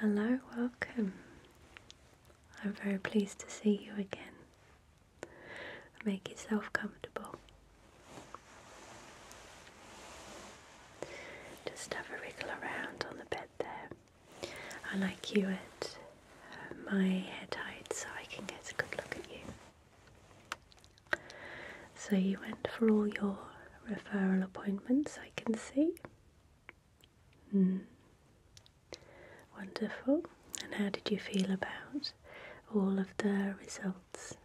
Hello, welcome. I'm very pleased to see you again. Make yourself comfortable. Just have a wriggle around on the bed there. I like you at uh, my head height so I can get a good look at you. So, you went for all your referral appointments, I can see. Hmm. Wonderful. And how did you feel about all of the results?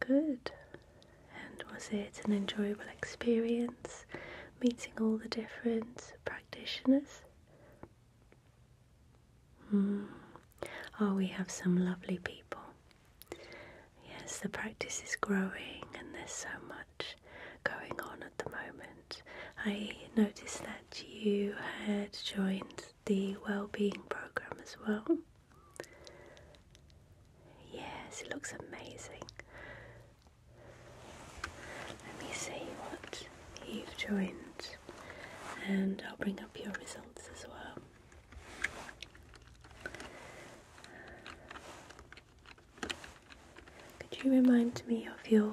Good. And was it an enjoyable experience meeting all the different practitioners? Hmm. Oh, we have some lovely people. Yes, the practice is growing, and there's so much going on at the moment. I noticed that you had joined the well-being program as well. Yes, it looks amazing. Let me see what you've joined, and I'll bring up your results as well. Could you remind me of your uh,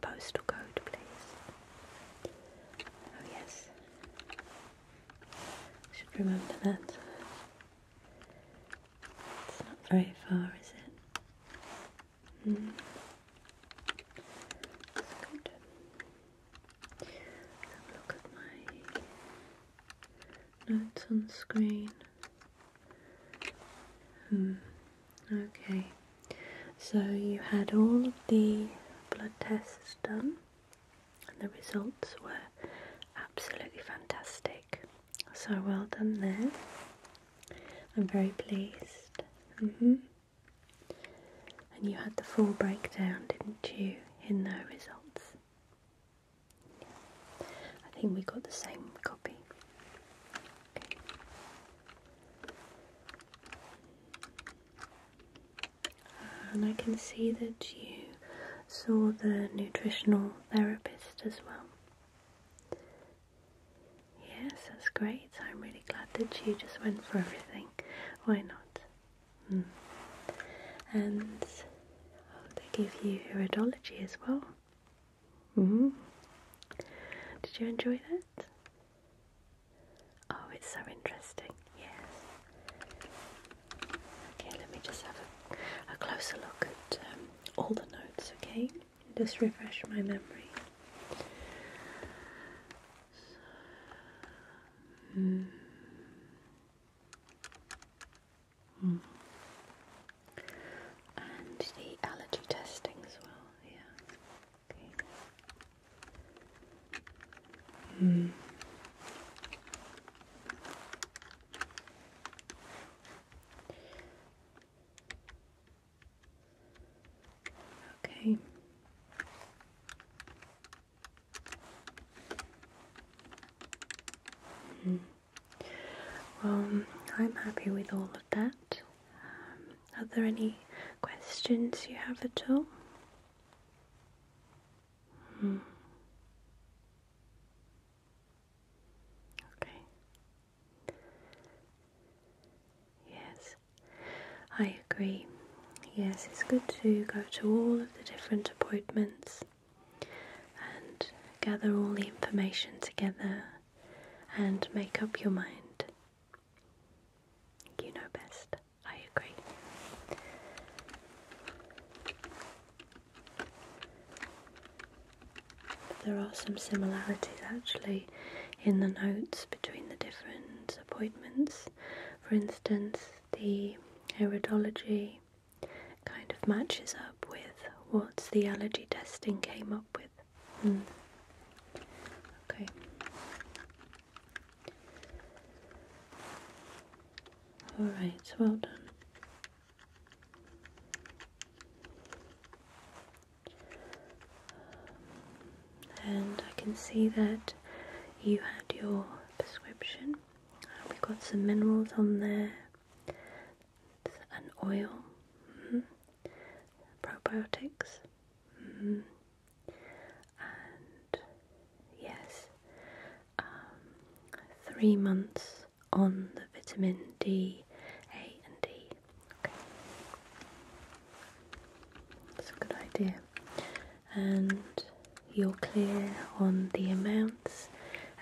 postal code, please? Oh, yes. should remember that. It's not very far, is it? That's hmm. good look at my notes on screen. Hmm, okay. So you had all of the blood tests done, and the results were absolutely fantastic. So well done there. I'm very pleased. Mm-hmm. And you had the full breakdown, didn't you, in the results? I think we got the same copy. And I can see that you saw the nutritional therapist as well. Yes, that's great. I'm really glad that you just went for everything. Why not? Mm. And they give you iridology as well. Mm. Did you enjoy that? Oh, it's so interesting. Yes. Okay, let me just have a, closer look at um, all the notes, okay? Just refresh my memory. And the allergy testing as well, yeah. Okay. Mm. Okay. Hmm. Well, I'm happy with all of that. Um, are there any questions you have at all? Hmm. Okay. Yes. I agree. Yes, it's good to go to all of the different appointments and gather all the information together and make up your mind. You know best. I agree. There are some similarities actually in the notes between the different appointments. For instance, the iridology kind of matches up with what the allergy testing came up with. Mm. Okay. Alright, well done and I can see that you had your prescription. Uh, We've got some minerals on there, an oil, mm-hmm. probiotics, mm-hmm. and yes, um, three months on the vitamin D, A, and D. Okay. That's a good idea and you're clear on the amounts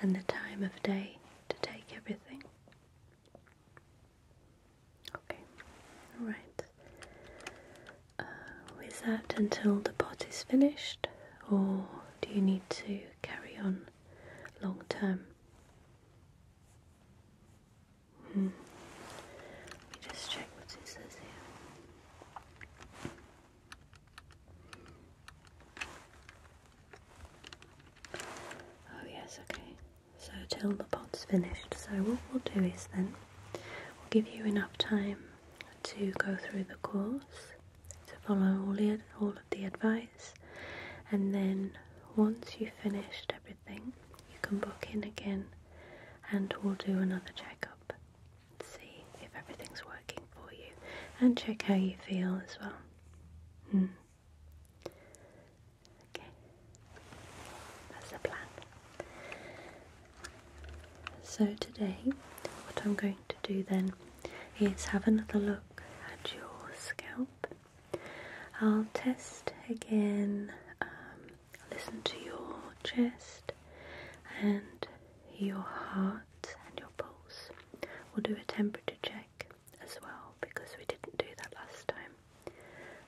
and the time of day to take everything. Okay, alright. Uh, that until the pot is finished, or do you need to carry on long term? Hmm. Let me just check what it says here. Oh yes, okay. So till the pot's finished. So what we'll do is then we'll give you enough time to go through the course, to follow all the all of the advice, and then once you've finished everything, you can book in again, and we'll do another checkup see if everything's working for you and check how you feel as well. Hmm. Okay, that's the plan. So, today, what I'm going to do then is have another look at your scalp. I'll test again um, Listen to your chest and your heart and your pulse. We'll do a temperature check as well because we didn't do that last time.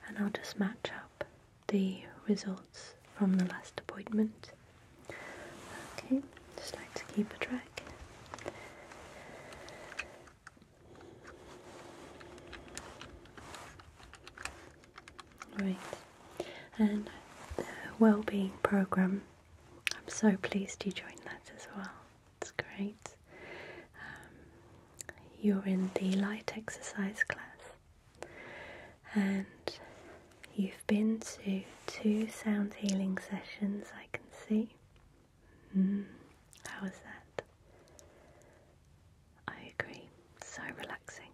And I'll just match up the results from the last appointment. Okay, just like to keep a track. Right, and the well-being program. I'm so pleased you joined that as well. It's great. Um, you're in the light exercise class, and you've been to two sound healing sessions. I can see. Hmm. how was that? I agree. So relaxing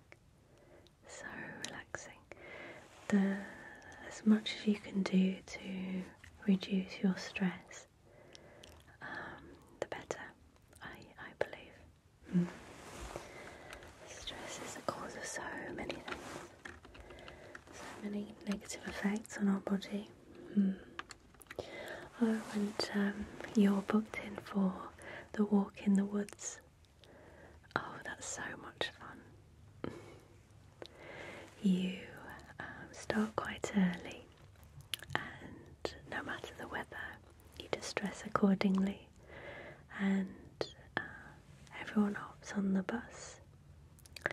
so relaxing. The, as much as you can do to reduce your stress, um, the better, I, I believe. Hmm. Stress is the cause of so many things, so many negative effects on our body. Oh, and you're booked in for the walk in the woods Oh, that's so much fun. you um, start quite early, and no matter the weather, you just dress accordingly, and uh, everyone hops on the bus. Uh,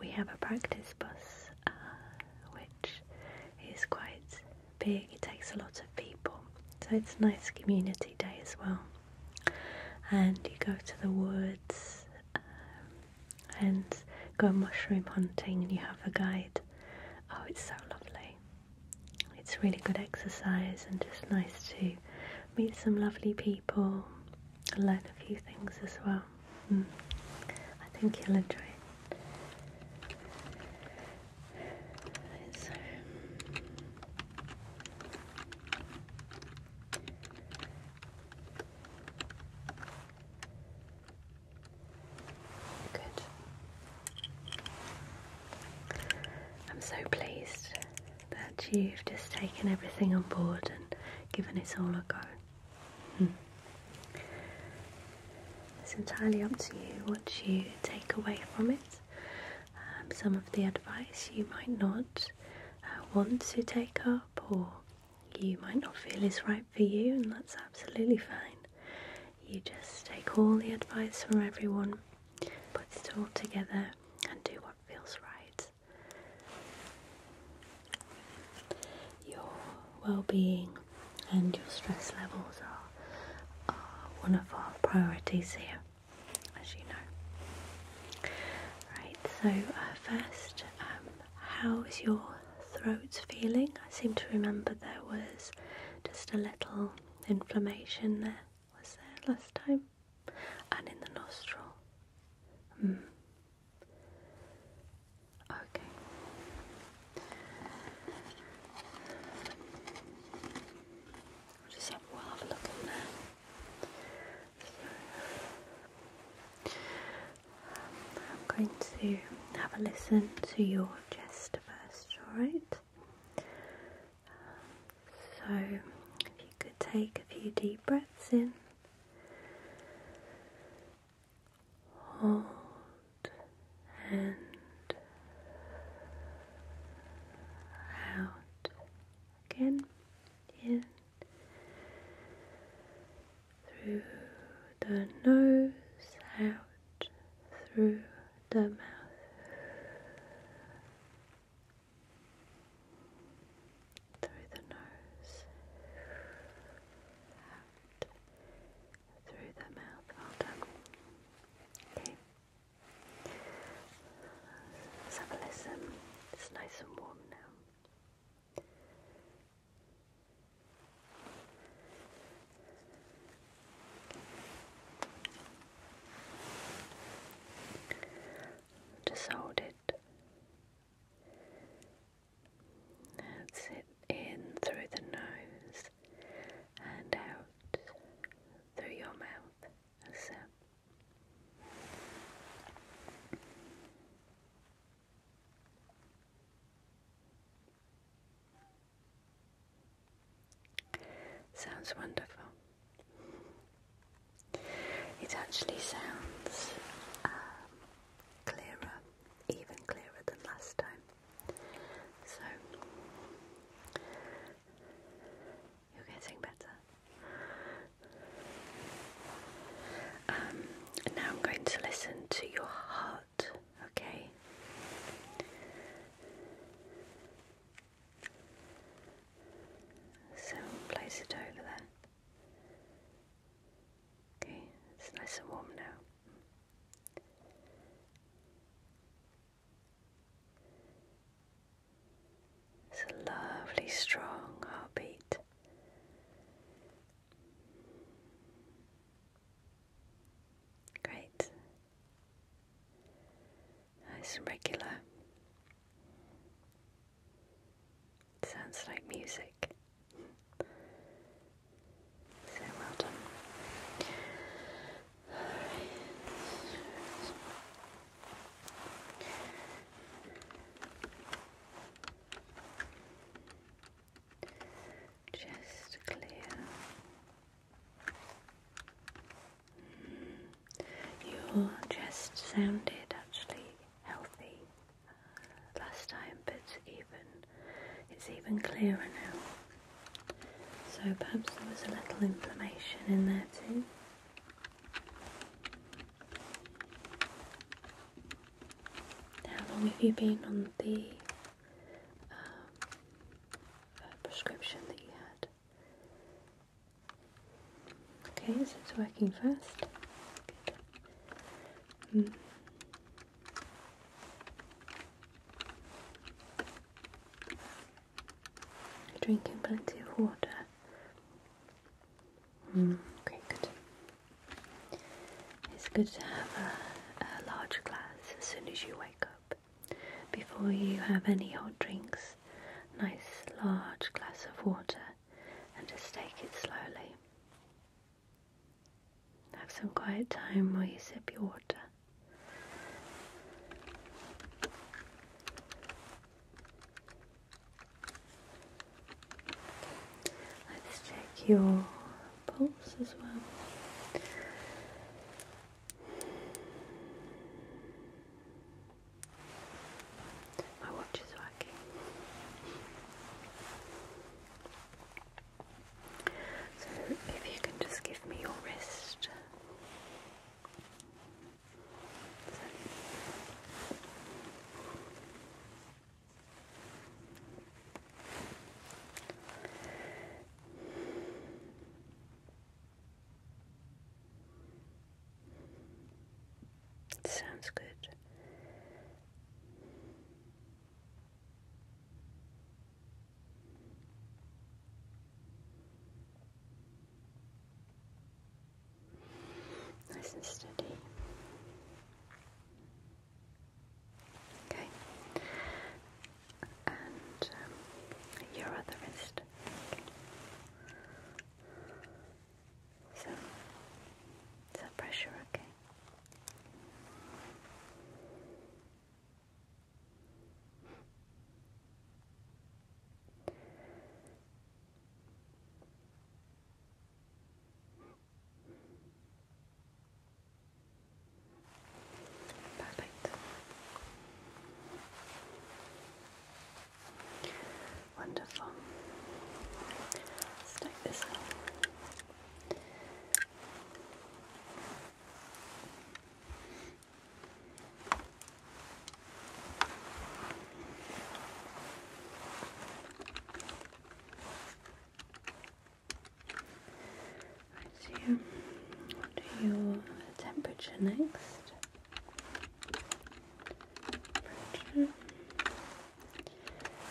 we have a practice bus, uh, which is quite big it takes a lot of people. So it's a nice community day as well. And you go to the woods um, and go mushroom hunting and you have a guide. Oh, it's so lovely. It's really good exercise and just nice to meet some lovely people and learn a few things as well. Hmm. I think you'll enjoy it. I'm so pleased that you've just taken everything on board and given it all a go. Hmm. It's entirely up to you what you take away from it. Um, some of the advice you might not uh, want to take up, or you might not feel is right for you, and that's absolutely fine. You just take all the advice from everyone, put it all together, and do what feels right. Your well being and your stress levels are one of our priorities here as you know. Right, so uh, first, um, how is your throat feeling? I seem to remember there was just a little inflammation there, was there last time? And in the nostril. Hmm. Okay. I'll just have, we have a look in there. So, I'm going to have a listen to your chest first, alright? so, if you could take a few deep breaths in. Hold and out again in through the nose, out through the mouth. Through the nose, out through the mouth. Well done. Okay. Let's have a listen. It's nice and warm now. Just hold it. That's In through the nose and out through your mouth. So Sounds wonderful. It actually sounds um, clearer, even clearer than last time. So you are getting better. Um, now I'm going to listen to your heart, okay? So place it over there. Okay, it's nice and warm now. It's a lovely, strong heartbeat. Great. Nice regular. Sounds like music. So well done. Just clear mm. your chest sounded actually healthy last time, but even it's even clearer now. So perhaps there was a little inflammation in there too. How long have you been on the uh, uh, prescription that you had? Okay, so it's working fast drinking plenty of water. Hmm, okay, good. It's good to have a large glass as soon as you wake up. Before you have any hot drinks, nice large glass of water and just take it slowly. Have some quiet time while you sip your water. Let's check your pulse as well. My watch is working. So, if you can just give me your wrist sounds good. Nice and steady. Okay. And um, your other wrist. So, is okay? Perfect. Wonderful. let this out. Right here, do your temperature next.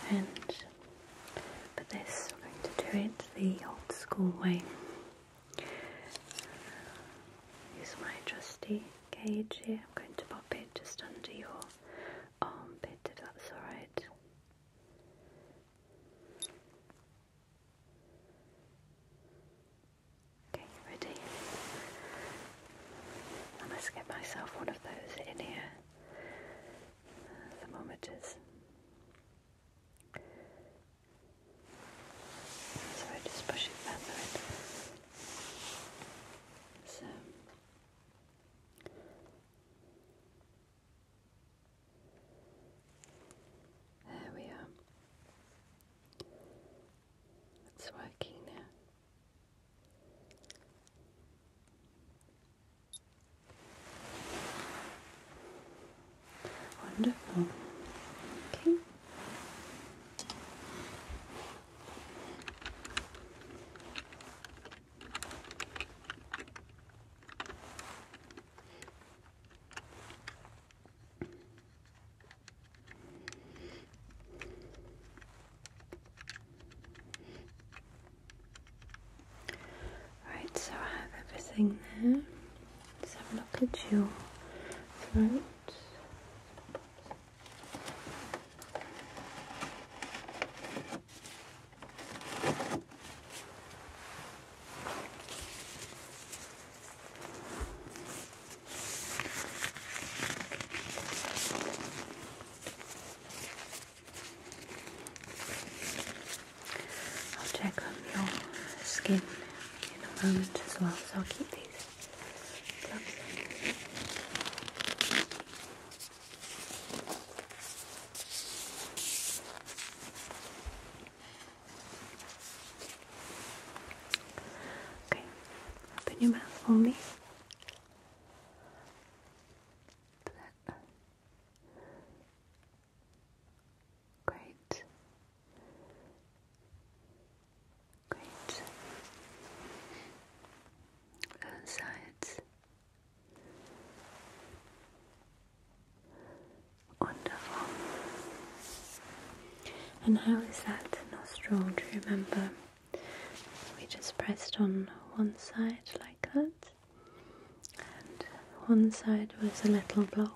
And for this, we're going to do it the old school way. Use my trusty gauge here. I'm going to pop it just under your armpit if that's alright. Okay, ready? I must get myself one of those in here. thermometers. So I just push it back So there we are. It's working now. Wonderful. Okay. Right, so I have everything there. Let's have a look at your throat. I'll check on your skin in a moment as well, so I'll keep these Okay, open your mouth for me. Great. Great. Both sides. Wonderful. And how is that nostril? Do you remember? We just pressed on one side like that, and one side was a little block.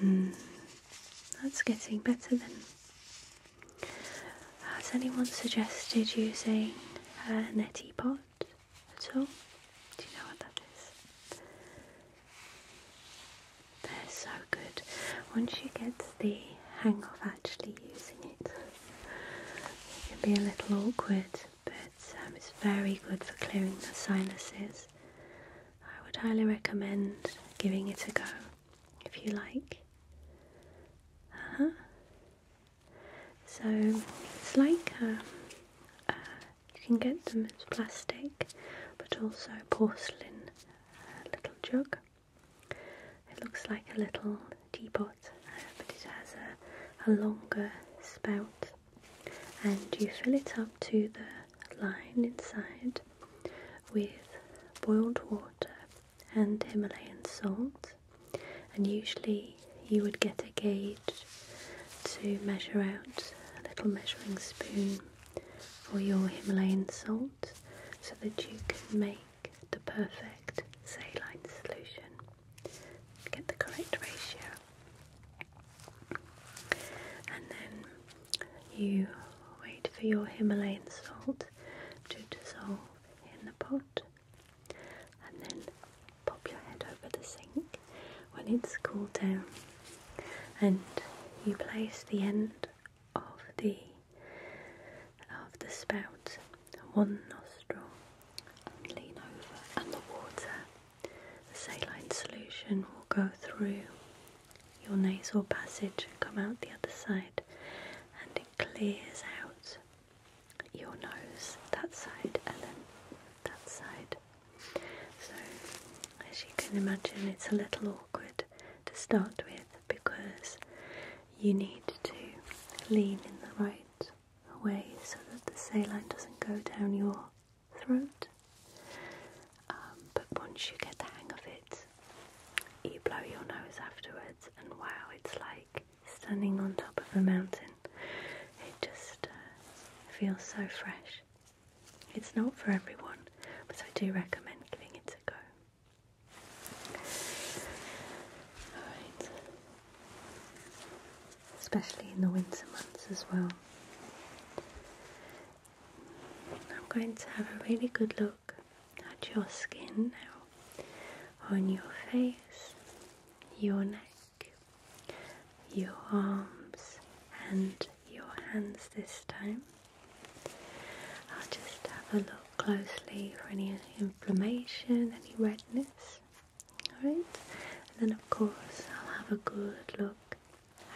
Hmm. that's getting better then. Has anyone suggested using a neti pot at all? Do you know what that is? They're so good. Once you get the hang of actually using it, it can be a little awkward, but um, it's, very good for clearing the sinuses. I would highly recommend giving it a go if you like. Uh-huh. So it's like um, uh, you can get them as plastic but also porcelain uh, little jug. It looks like a little teapot uh, but it has a, a longer spout and you fill it up to the line inside with boiled water and Himalayan salt and usually you would get a gauge to measure out a little measuring spoon for your Himalayan salt so that you can make the perfect saline solution get the correct ratio. And then you wait for your Himalayan salt to dissolve in the pot, and then pop your head over the sink when it's cooled down. And you place the end of the of the spout one nostril and lean over, and the water the saline solution will go through your nasal passage and come out the other side, and it clears out your nose that side and then that side. So, as you can imagine, it's a little awkward to start with because you need to lean in the right way so that the saline doesn't go down your throat. Um, but once you get the hang of it, you blow your nose afterwards, and wow, it's like standing on top of a mountain. It just uh, feels so fresh. It's not for everyone, but I do recommend giving it a go. Alright, especially in the winter months as well. I'm going to have a really good look at your skin now, on your face, your neck, your arms, and your hands this time. I'll just have a look closely for any inflammation, any redness. Alright, and then of course I'll have a good look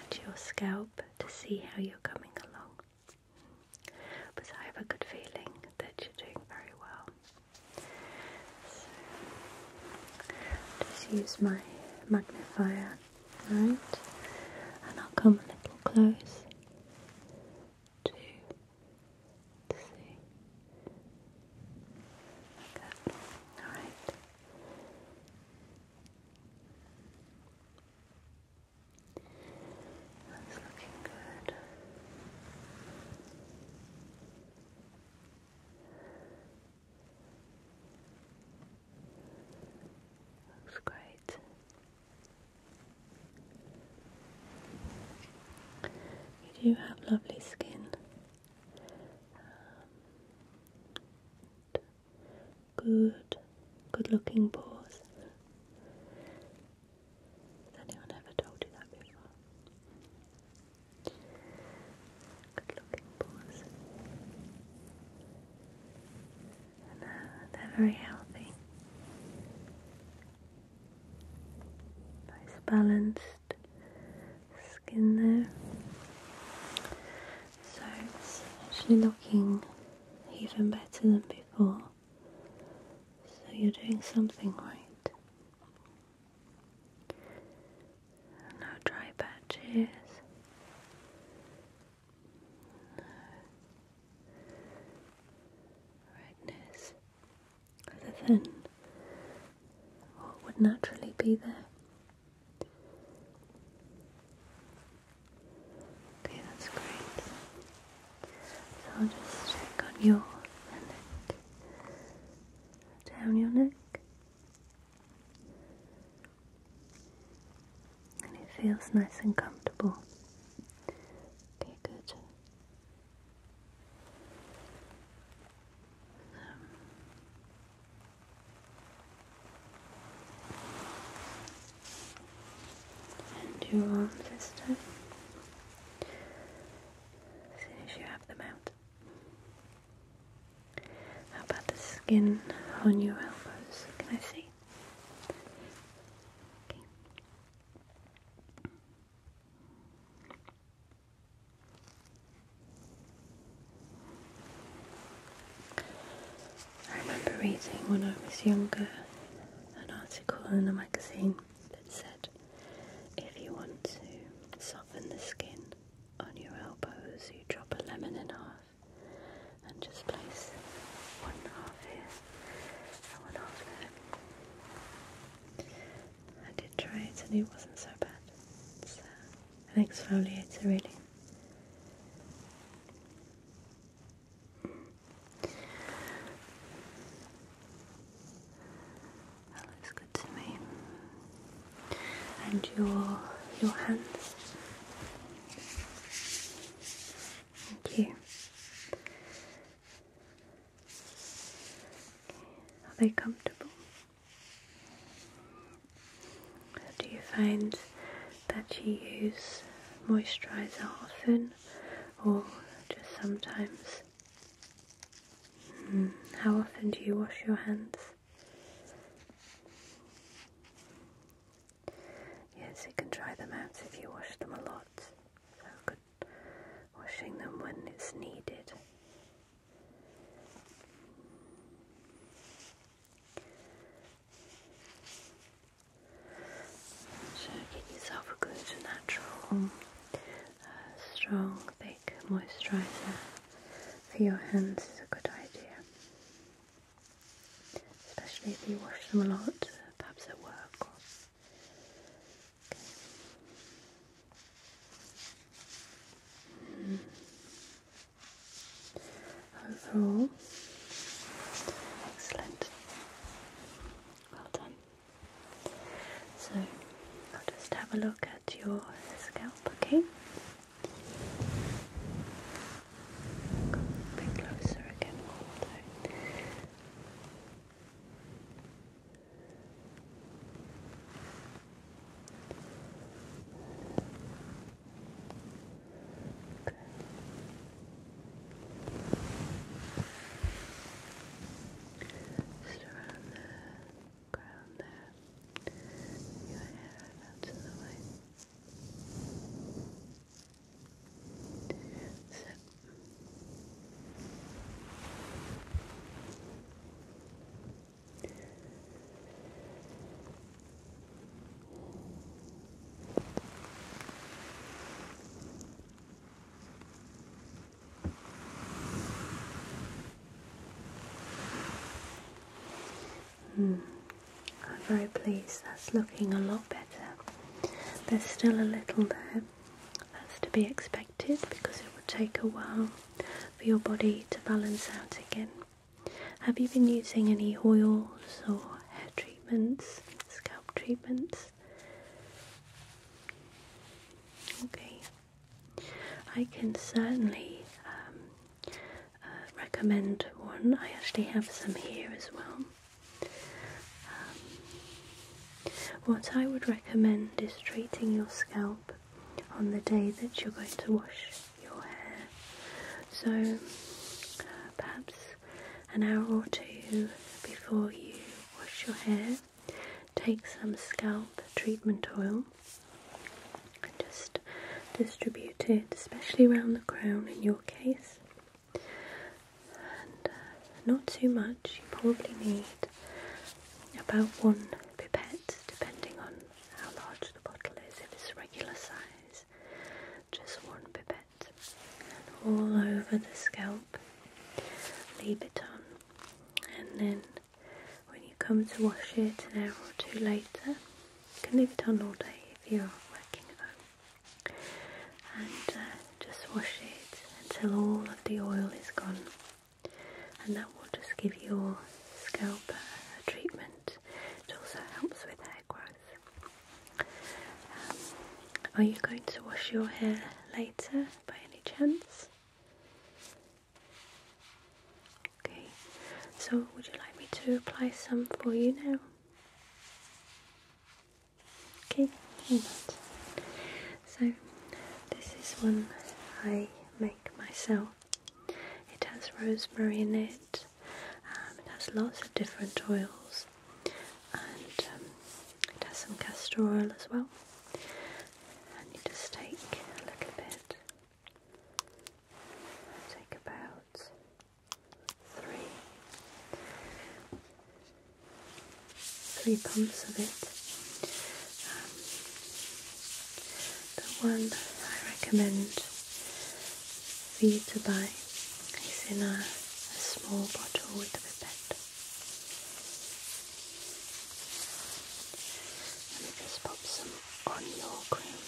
at your scalp to see how you're coming along. But I have a good feeling that you're doing very well. just use my magnifier, alright? And I'll come a little close to, see. Like Alright. That's looking good. Looks great. You do have lovely skin good, good looking pores. Has anyone ever told you that before? Good looking pores. Uh, they're very healthy. Nice balance skin there. So it's actually looking even better than before. So you're doing something right. No dry patches. No redness other than what would naturally be there. Okay, that's great. So I'll just check on your neck. Down your neck. And it feels nice and comfortable. Okay, good. And your arms this time. As soon as you have them out. How about the skin on your elbows? Can I see? I remember reading when I was younger an article in a magazine that said if you want to soften the skin on your elbows, you drop a lemon in half and just place one half here and one half there. I did try it and it wasn't so bad an exfoliator really. That looks good to me. And your your hands. Thank you. Are they comfortable? Do you find that you use moisturizer often or just sometimes? Hmm, how often do you wash your hands? Yes, you can try them out if you wash them a lot. So good washing them when it's needed. So get yourself a good natural, uh, strong, thick moisturiser for your hands is a good idea. Especially if you wash them a lot, perhaps at work. Overall, excellent. Well done. So I'll just have a look at your scalp, okay? a bit closer again, although. Good. Just around the ground there. Your hair right out to the way. Sit. Good. I'm very pleased that's looking a lot better. There's still a little there. That's to be expected because it will take a while for your body to balance out again. Have you been using any oils or hair treatments, scalp treatments? Okay, I can certainly um, uh, recommend one. I actually have some here as well. Um, what I would recommend is treating your scalp on the day that you're going to wash your hair. So perhaps an hour or two before you wash your hair, take some scalp treatment oil and just distribute it, especially around the crown in your case. And uh, not too much, you probably need about one pipette depending on how large the bottle is, if it's regular size, just one pipette, and all over the scalp, leave it on, and then when you come to wash it an hour or two later, you can leave it on all day if you're working at and uh, just wash it until all of the oil is gone and that will just give your scalp a treatment. It also helps with hair growth. Um, are you going to wash your hair later by any chance? Okay, so would you like me to apply some for you now? Okay, so this is one I make myself it has rosemary in it, um, it has lots of different oils, and um, it has some castor oil as well. And you just take a little bit, take about three, three pumps of it the one I recommend for you to buy is in a, small bottle with a pipette. Let me just pop some on your cream.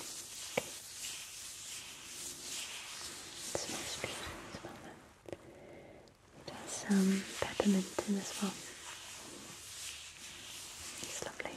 Okay. It smells beautiful, smell that. some peppermint in as well. It's lovely.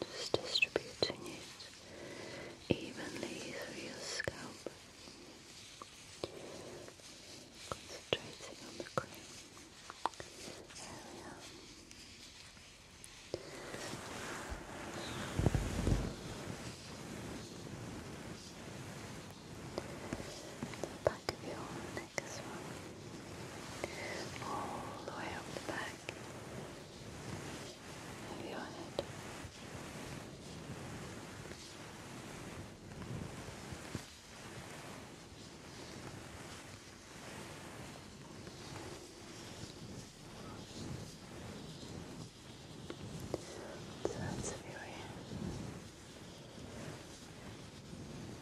Just distributing it evenly through your scalp. Concentrating on the cream area. The back of your neck All the way up the back. Have you on it? So that's very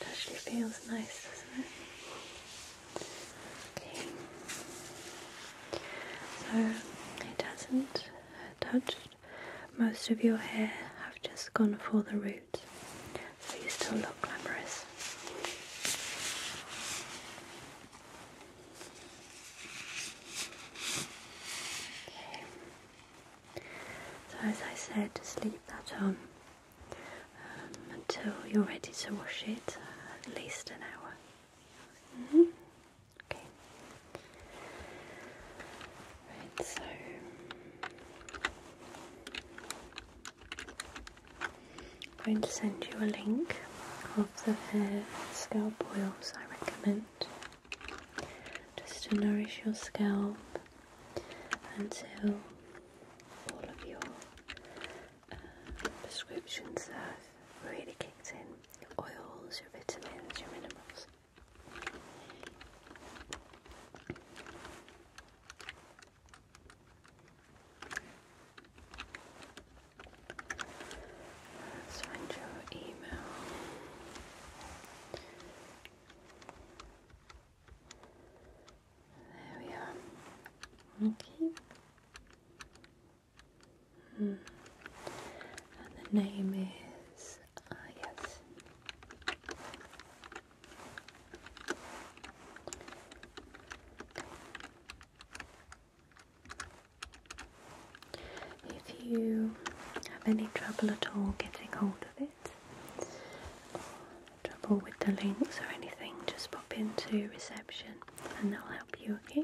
It actually feels nice, doesn't it? So it does not touch most of your hair. have just gone for the root, so you still look glamorous. So as I said, just leave that on. Um, until you're ready to wash it at least an hour. Mm-hmm. Okay. Right, so I'm going to send you a link of the hair scalp oils I recommend just to nourish your scalp until all of your uh, prescriptions have really kicked in your oils, your vitamins, your minerals. Let's find your email. There we are. Okay. Hmm. And the name is ah yes. If you have any trouble at all getting hold of it, Trouble with the links or anything, just pop into reception and they'll help you, okay?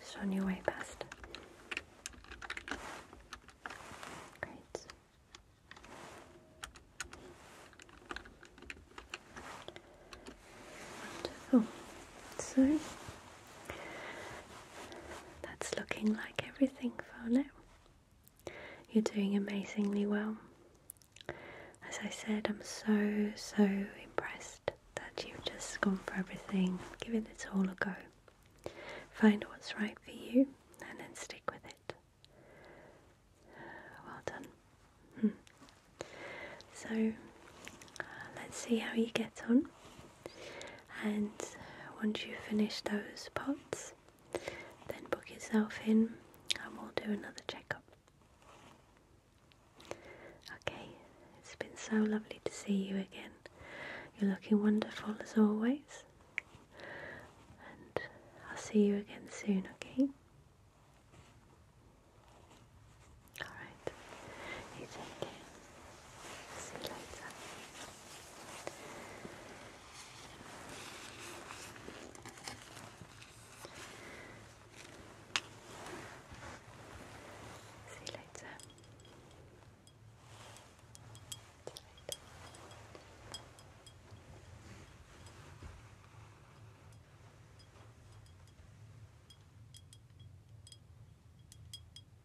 Just on your way past. Great. Wonderful. So that's looking like everything for now. You're doing amazingly well. As I said, I'm so, so impressed that you've just gone for everything, given it all a go. Find what's right for you and then stick with it. Well done. Hmm. So let's see how you get on and once you finish those pots then book yourself in and we'll do another checkup. Okay, it's been so lovely to see you again. You're looking wonderful as always and I'll see you again soon, okay? Alright, See you later. See you later.